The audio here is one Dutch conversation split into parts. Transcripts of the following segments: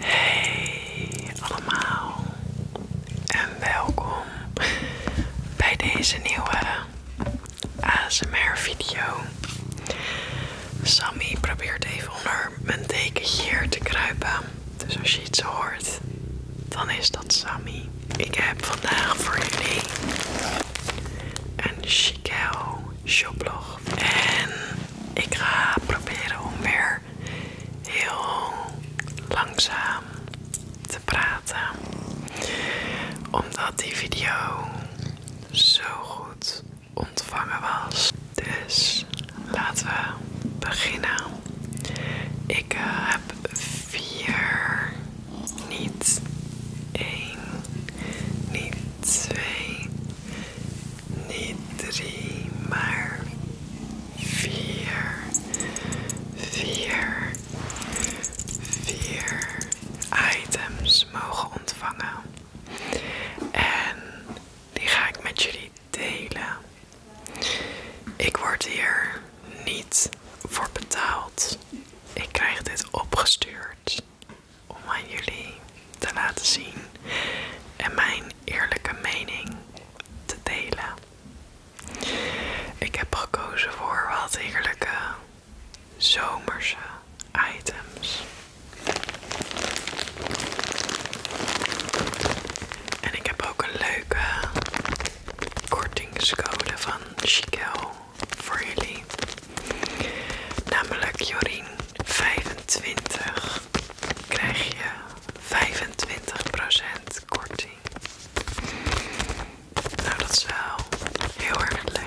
Hey allemaal en welkom bij deze nieuwe ASMR video. Sammy probeert even onder mijn dekentje hier te kruipen. Dus als je iets hoort, dan is dat Sammy. Ik heb vandaag voor jullie een Chicago shoplog en ik ga proberen om weer heel langzaam te praten, omdat die video zo goed ontvangen was. Dus laten we beginnen. Ik eh, heb vier, niet één, niet twee, niet drie, maar vier, vier, vier items mogen ontvangen. En die ga ik met jullie delen. Ik word hier niet voor betaald. Ik krijg dit opgestuurd om aan jullie te laten zien en mijn eerlijke mening te delen. Ik heb gekozen voor wat heerlijke zomerse items. En ik heb ook een leuke kortingscode van Chiquel voor jullie. Namelijk Jorien 25 krijg je 25% korting. Nou, dat is wel heel erg leuk.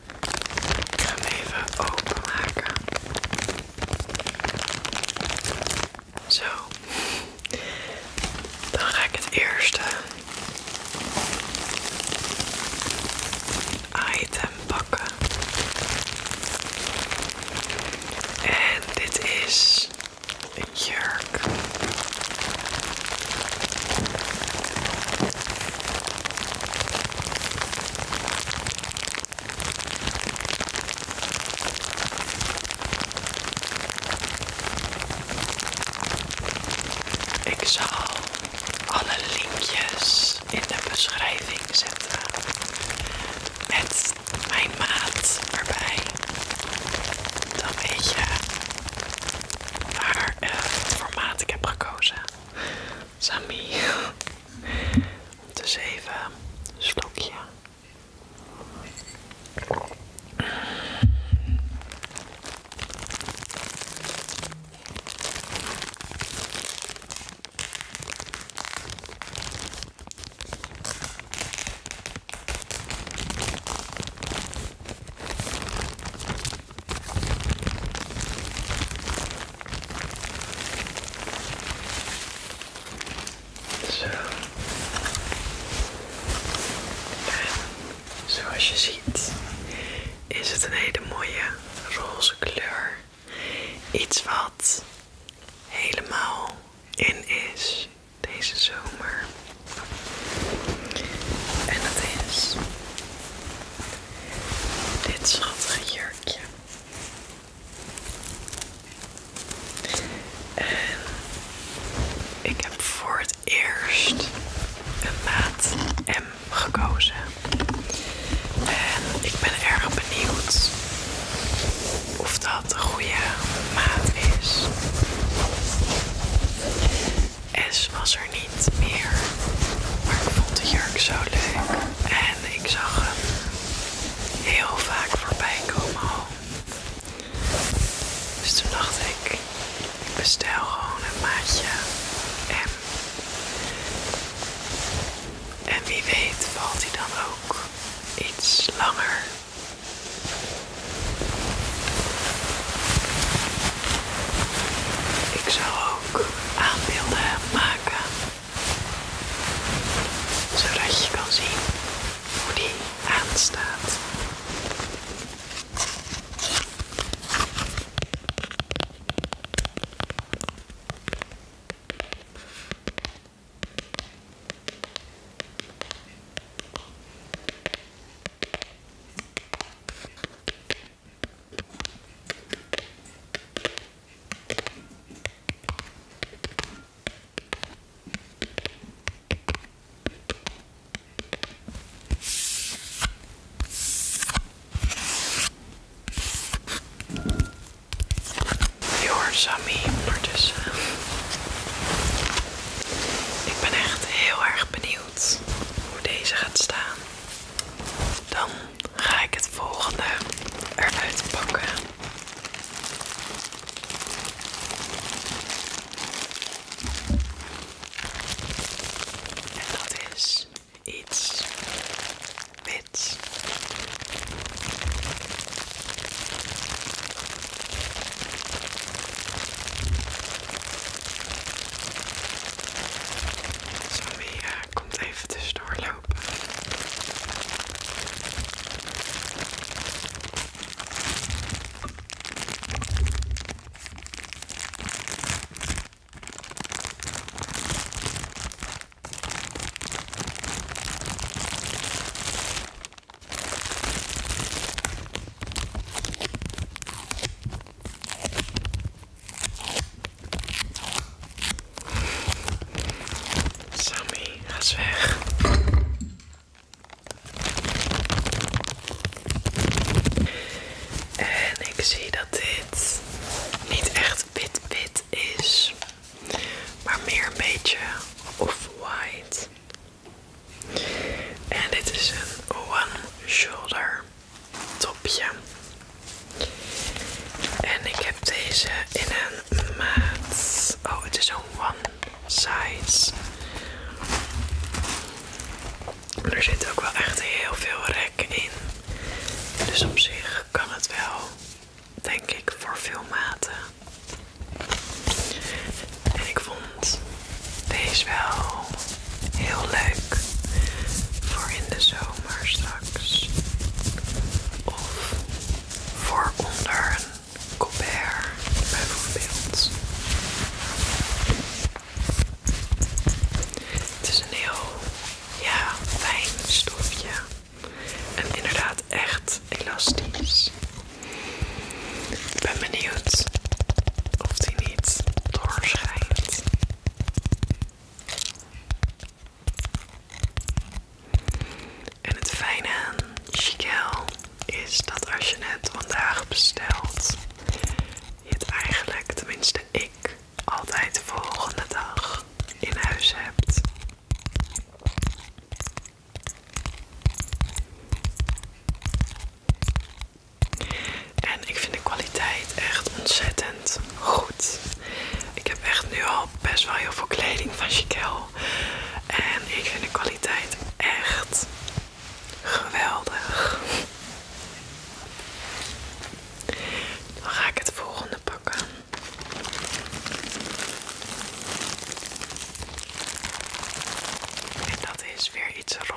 Ik ga even openmaken. Zo. Dan ga ik het eerste item pakken. En dit is een jurk. Ik zal alle linkjes in de beschrijving zetten met mijn maat erbij. Dan weet je waar het eh, formaat ik heb gekozen. Samy, Dus even een slokje. Zo. En zoals je ziet is het een hele mooie roze kleur. Iets wat helemaal in is deze zomer. En dat is dit schattige jurkje. En ik heb voor het eerst een maat M gekozen. En ik ben erg benieuwd of dat de goede maat is. S was er niet meer. Maar ik vond de jurk zo leuk. En ik zag hem heel vaak voorbij komen. Dus toen dacht ik, ik bestel gewoon een maatje M. En wie weet valt hij dan ook iets langer. Ik zou ook aan maken. Zodat je kan zien hoe die aanstaat. Je dus, eh, Ik ben echt heel erg benieuwd hoe deze gaat staan. Dan ga ik het volgende eruit pakken. En dat is iets wits. Sammy eh, komt even doorlopen. lopen. Sammy, ga weg. En ik zie dat dit niet echt wit-wit is, maar meer een beetje off-white. En dit is een one shoulder topje. En ik heb deze in een maat. Oh, het is een one size. maar Er zit ook wel echt heel veel rek in. Dus op zich kan het wel, denk ik, voor veel maten. En ik vond want is wel heel leuk voor in de zomer straks. Of voor onder een colbert bijvoorbeeld. Het is een heel ja, fijn stofje. En inderdaad echt elastisch. Ik ben benieuwd of die doorschijnt. En het fijne aan Chiquel is dat als je het vandaag bestelt, je het eigenlijk, tenminste ik, altijd de volgende dag in huis hebt. En ik vind de kwaliteit echt ontzettend goed. Ik heb echt nu al best wel heel veel kleding van Chiquel. En ik vind de kwaliteit echt geweldig. Dan ga ik het volgende pakken. En dat is weer iets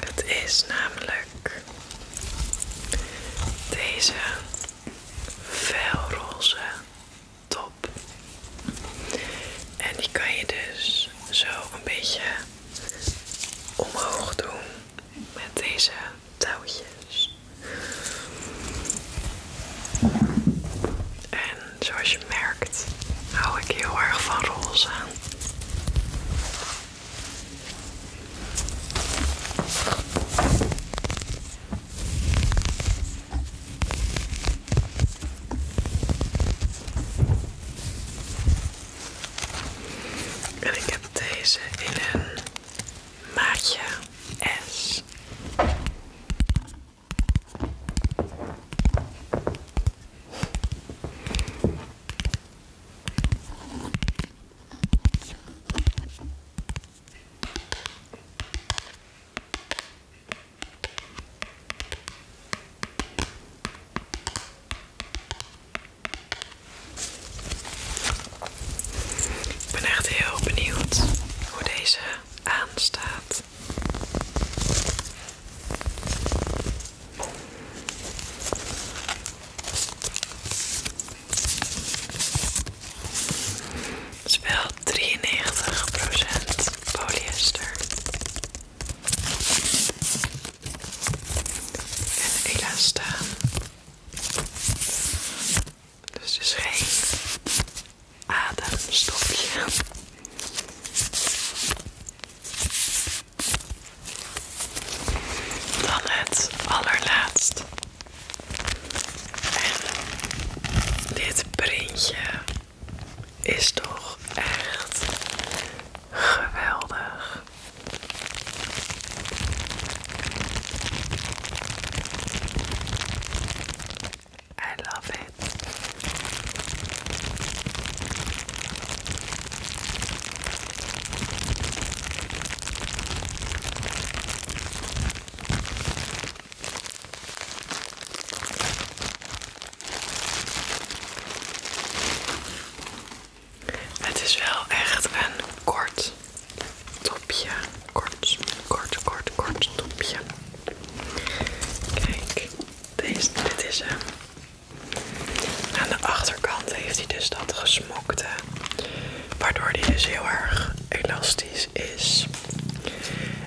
Het is namelijk deze felroze top. En die kan je dus zo een beetje omhoog doen met deze touwtjes. En zoals je merkt, hou ik heel erg van roze aan. En ik heb deze in een maatje S. Ik ben echt heel benieuwd hoe deze aanstaat. Het is wel 93% polyester. En elastan, Dus is geen ademstofje. Dan het allerlaatst. En dit printje is toch echt geweldig. I love it. Het is wel echt een kort topje. Kort, kort, kort, kort topje. Kijk, deze, dit is hem. Aan de achterkant heeft hij dus dat gesmokte. Waardoor hij dus heel erg elastisch is.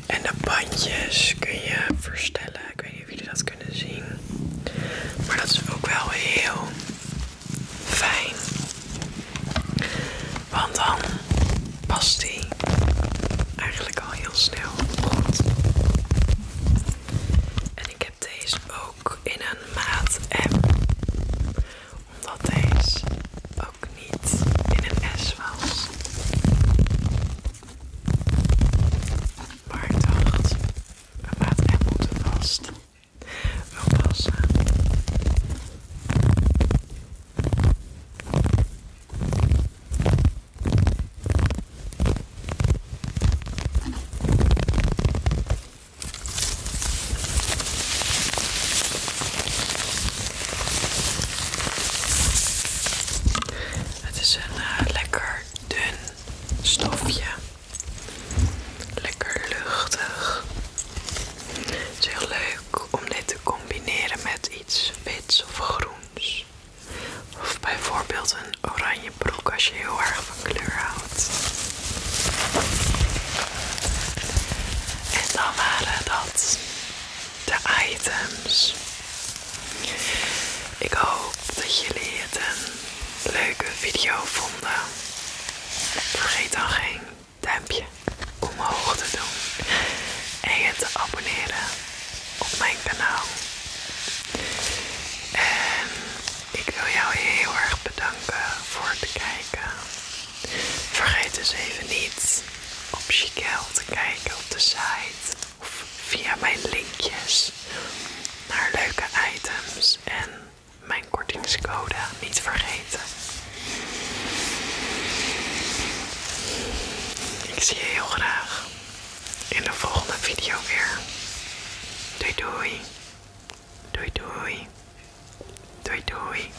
En de bandjes kun je verstellen. Ik weet niet of jullie dat kunnen zien. Maar dat is ook wel heel fijn. Want dan past die eigenlijk al heel snel goed. En ik heb deze ook in een maat app. Omdat deze ook niet in een S was. Maar ik dacht, vast. Wel passen. Het is een eh, lekker dun stofje. Lekker luchtig. Het is heel leuk om dit te combineren met iets wits of groens. Of bijvoorbeeld een oranje broek als je heel erg van kleur houdt. En dan waren dat de items. Ik hoop dat jullie het een leuke video vonden. Vergeet dan geen duimpje omhoog te doen en je te abonneren op mijn kanaal. En ik wil jou heel erg bedanken voor het kijken. Vergeet dus even niet op Chiquel te kijken op de site of via mijn linkjes naar leuke items en mijn kortingscode niet vergeten. Ik zie je heel graag in de volgende video weer. Doei doei. Doei doei. Doei doei.